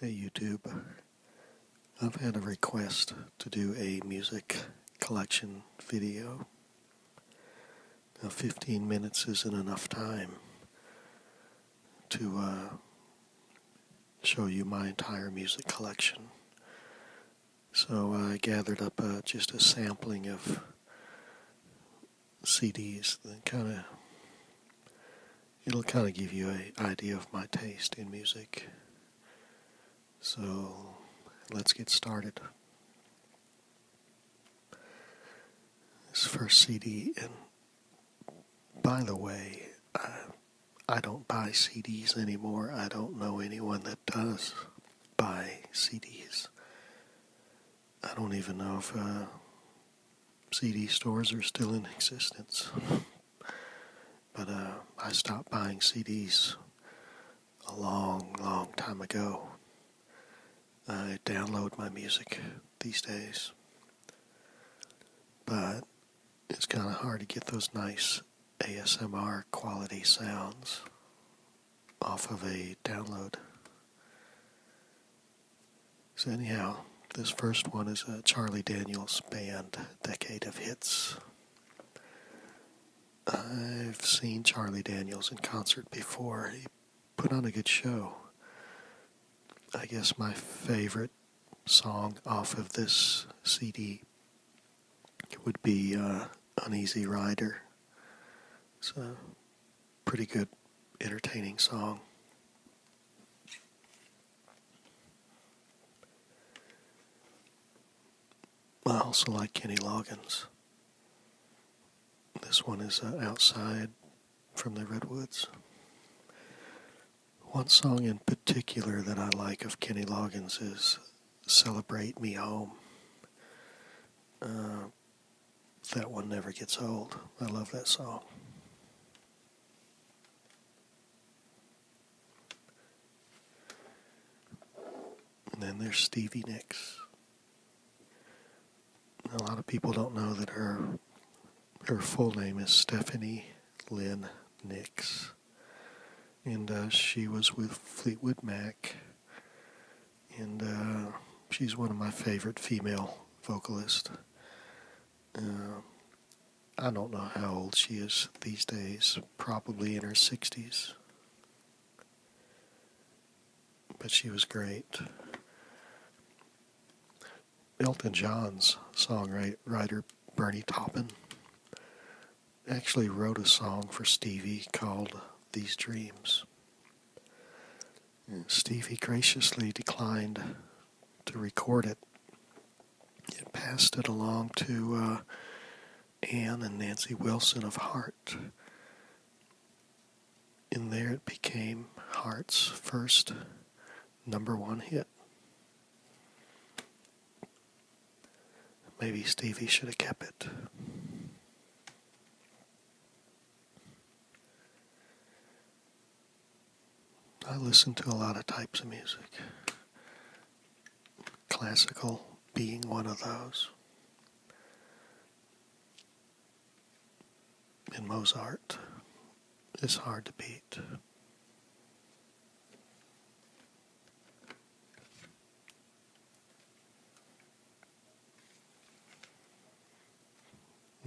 Hey YouTube, I've had a request to do a music collection video. Now 15 minutes isn't enough time to uh, show you my entire music collection. So I gathered up uh, just a sampling of CDs Then, kind of it'll kind of give you an idea of my taste in music. So let's get started. This first CD, and by the way, I don't buy CDs anymore. I don't know anyone that does buy CDs. I don't even know if uh, CD stores are still in existence. but uh, I stopped buying CDs a long, long time ago. I download my music these days. But it's kind of hard to get those nice ASMR quality sounds off of a download. So, anyhow, this first one is a Charlie Daniels band, Decade of Hits. I've seen Charlie Daniels in concert before. He put on a good show. I guess my favorite song off of this CD would be uh, Uneasy Rider. So pretty good, entertaining song. I also like Kenny Loggins. This one is uh, Outside from the Redwoods. One song in particular that I like of Kenny Loggins is Celebrate Me Home. Uh, that one never gets old. I love that song. And then there's Stevie Nicks. A lot of people don't know that her her full name is Stephanie Lynn Nicks, and uh, she was with Fleetwood Mac and uh, she's one of my favorite female vocalists. Uh, I don't know how old she is these days, probably in her 60s. But she was great. Elton John's songwriter Bernie Taupin actually wrote a song for Stevie called These Dreams. Stevie graciously declined to record it. It passed it along to uh, Anne and Nancy Wilson of Heart. And there it became Heart's first number one hit. Maybe Stevie should have kept it. I listen to a lot of types of music. Classical being one of those. And Mozart is hard to beat.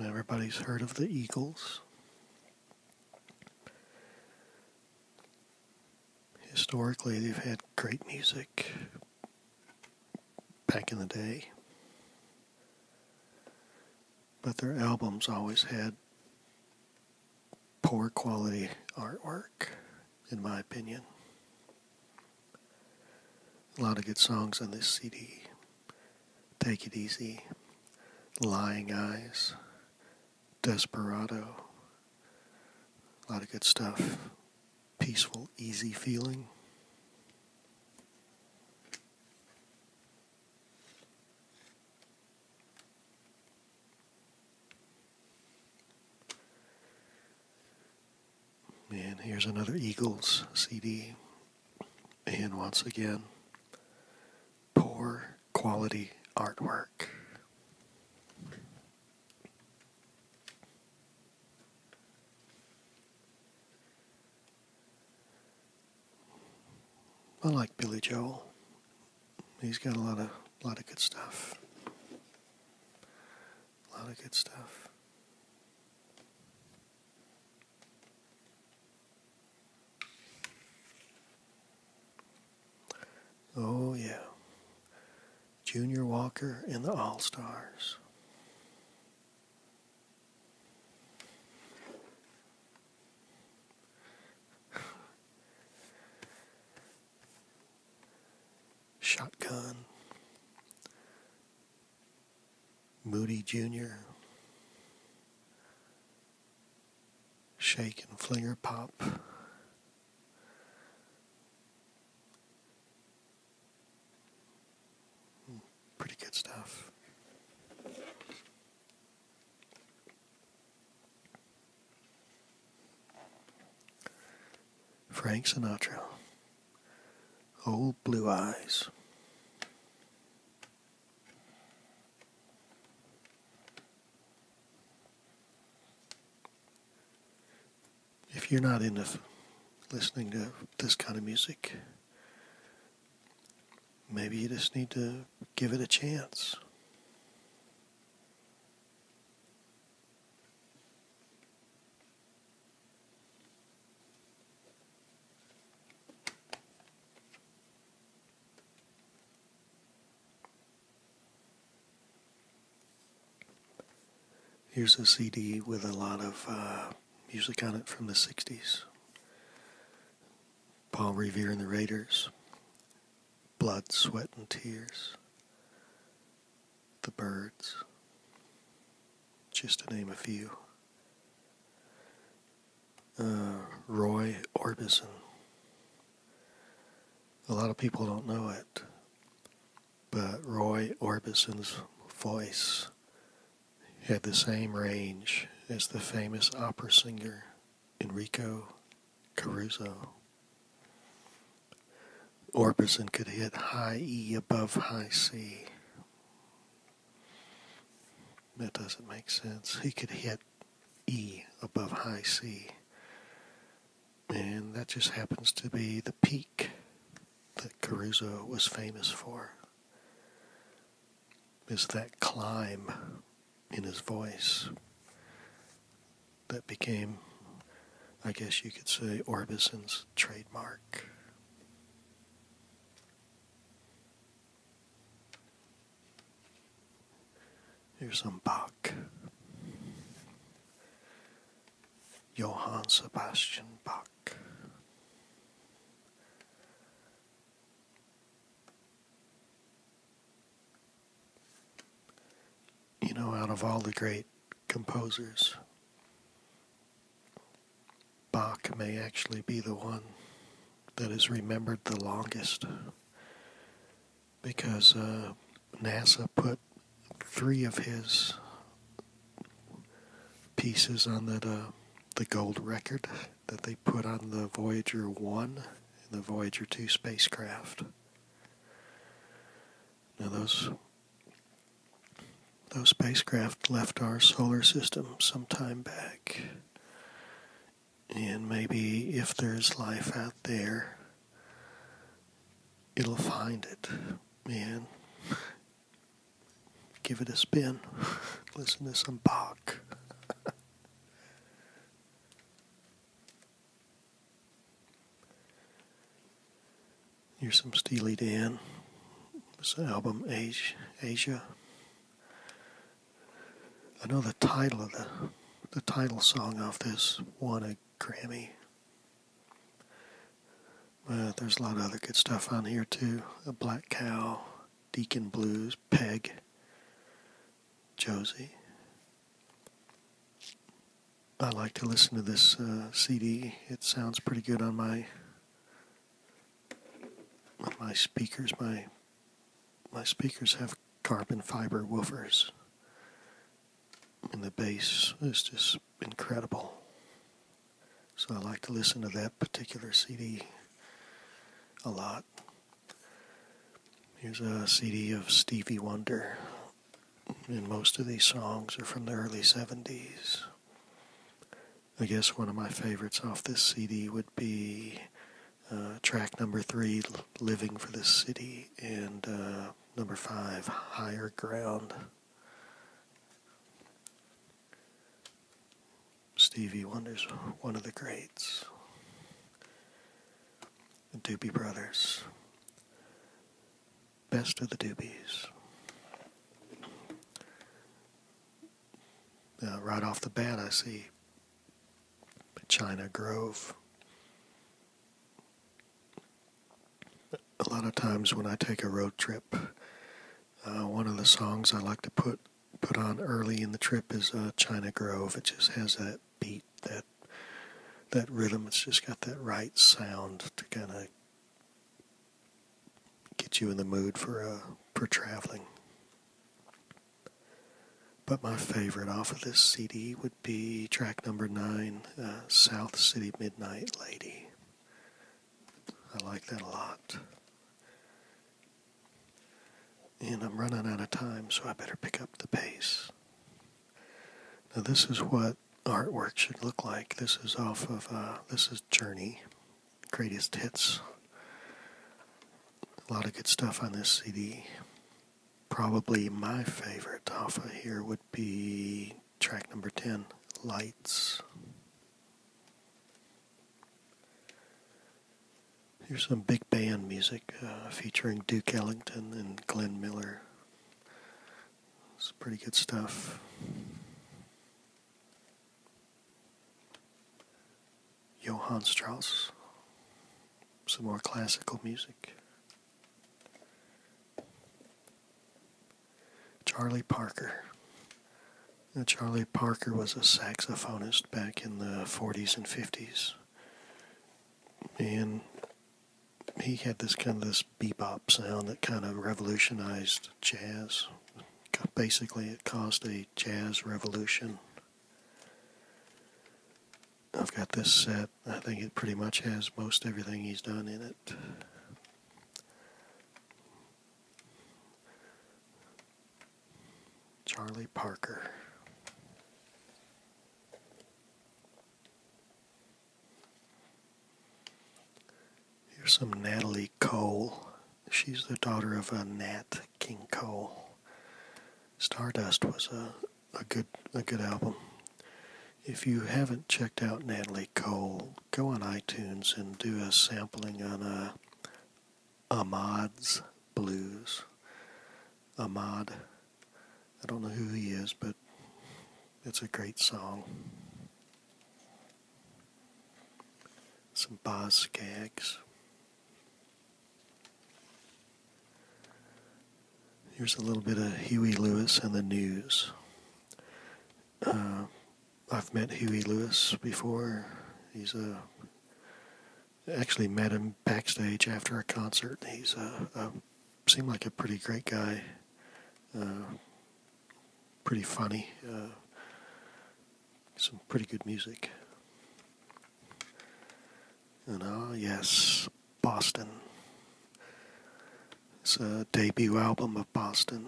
Everybody's heard of the Eagles. Historically, they've had great music back in the day, but their albums always had poor quality artwork, in my opinion. A lot of good songs on this CD. Take It Easy, Lying Eyes, Desperado. A lot of good stuff. Peaceful, easy feeling. And here's another Eagles CD. And once again, poor quality artwork. I like Billy Joel he's got a lot of lot of good stuff. A lot of good stuff. Oh yeah. Junior Walker and the All Stars. Shotgun, Moody Jr., Shake and Flinger Pop. Hmm, pretty good stuff. Frank Sinatra, Old Blue Eyes. If you're not into listening to this kind of music, maybe you just need to give it a chance. Here's a CD with a lot of uh, music on it from the 60s. Paul Revere and the Raiders, blood, sweat, and tears. The birds, just to name a few. Uh, Roy Orbison. A lot of people don't know it, but Roy Orbison's voice had the same range as the famous opera singer Enrico Caruso. Orbison could hit high E above high C. That doesn't make sense. He could hit E above high C. And that just happens to be the peak that Caruso was famous for is that climb in his voice that became, I guess you could say, Orbison's trademark. Here's some Bach. Johann Sebastian Bach. You know, out of all the great composers, Bach may actually be the one that is remembered the longest because uh, NASA put three of his pieces on that uh, the gold record that they put on the Voyager 1 and the Voyager 2 spacecraft. Now those those spacecraft left our solar system some time back. And maybe if there's life out there, it'll find it. Man, give it a spin. Listen to some Bach. Here's some Steely Dan. This album, Asia. I know the title of the the title song of this one a Grammy. But uh, there's a lot of other good stuff on here too. A Black Cow, Deacon Blues, Peg, Josie. I like to listen to this uh, CD. It sounds pretty good on my my speakers. My my speakers have carbon fiber woofers, and the bass is just incredible. So I like to listen to that particular CD a lot. Here's a CD of Stevie Wonder, and most of these songs are from the early 70s. I guess one of my favorites off this CD would be uh, track number three, Living for the City, and uh, number five, Higher Ground. Stevie Wonder's one of the greats. The Doobie Brothers. Best of the Doobies. right off the bat, I see China Grove. A lot of times when I take a road trip, uh, one of the songs I like to put put on early in the trip is uh, China Grove. It just has that beat, that that rhythm. It's just got that right sound to kind of get you in the mood for uh, for traveling. But my favorite off of this CD would be track number nine, uh, South City Midnight Lady. I like that a lot. And I'm running out of time, so I better pick up the pace. Now, this is what artwork should look like. This is off of, uh, this is Journey, Greatest Hits. A lot of good stuff on this CD. Probably my favorite off of here would be track number 10, Lights. Here's some big band music uh, featuring Duke Ellington and Glenn Miller. It's pretty good stuff. Johann Strauss, some more classical music. Charlie Parker. Charlie Parker was a saxophonist back in the 40s and 50s. And he had this kind of this bebop sound that kind of revolutionized jazz. Basically, it caused a jazz revolution. I've got this set. I think it pretty much has most everything he's done in it. Charlie Parker. Here's some Natalie Cole. She's the daughter of a Nat King Cole. Stardust was a, a good a good album. If you haven't checked out Natalie Cole, go on iTunes and do a sampling on uh, Ahmad's Blues. Ahmad, I don't know who he is, but it's a great song. Some Boz Skaggs. Here's a little bit of Huey Lewis and the News. Uh, I've met Huey Lewis before. He's a uh, actually met him backstage after a concert. He's a, uh, seemed like a pretty great guy, pretty funny, some pretty good music. And ah, yes, Boston. It's a debut album of Boston.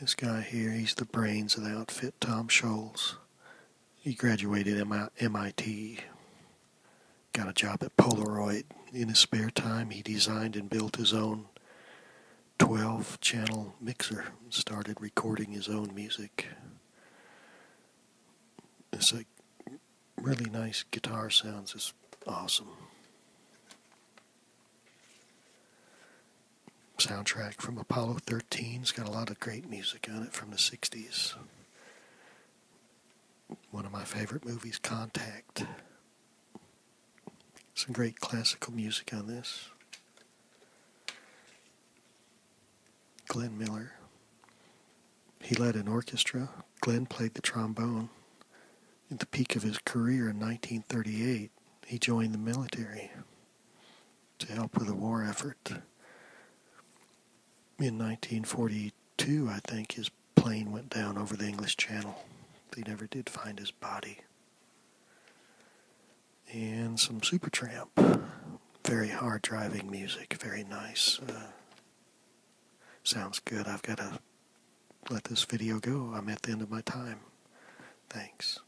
This guy here, he's the brains of the outfit, Tom Scholes. He graduated at MIT, got a job at Polaroid. In his spare time, he designed and built his own 12 channel mixer started recording his own music. It's like really nice guitar sounds. It's awesome. Soundtrack from Apollo 13. It's got a lot of great music on it from the 60s. One of my favorite movies, Contact. Some great classical music on this. Glenn Miller. He led an orchestra. Glenn played the trombone. At the peak of his career in 1938, he joined the military to help with the war effort. In 1942, I think, his plane went down over the English Channel. They never did find his body. And some Supertramp very hard driving music, very nice. Uh, sounds good. I've got to let this video go. I'm at the end of my time. Thanks.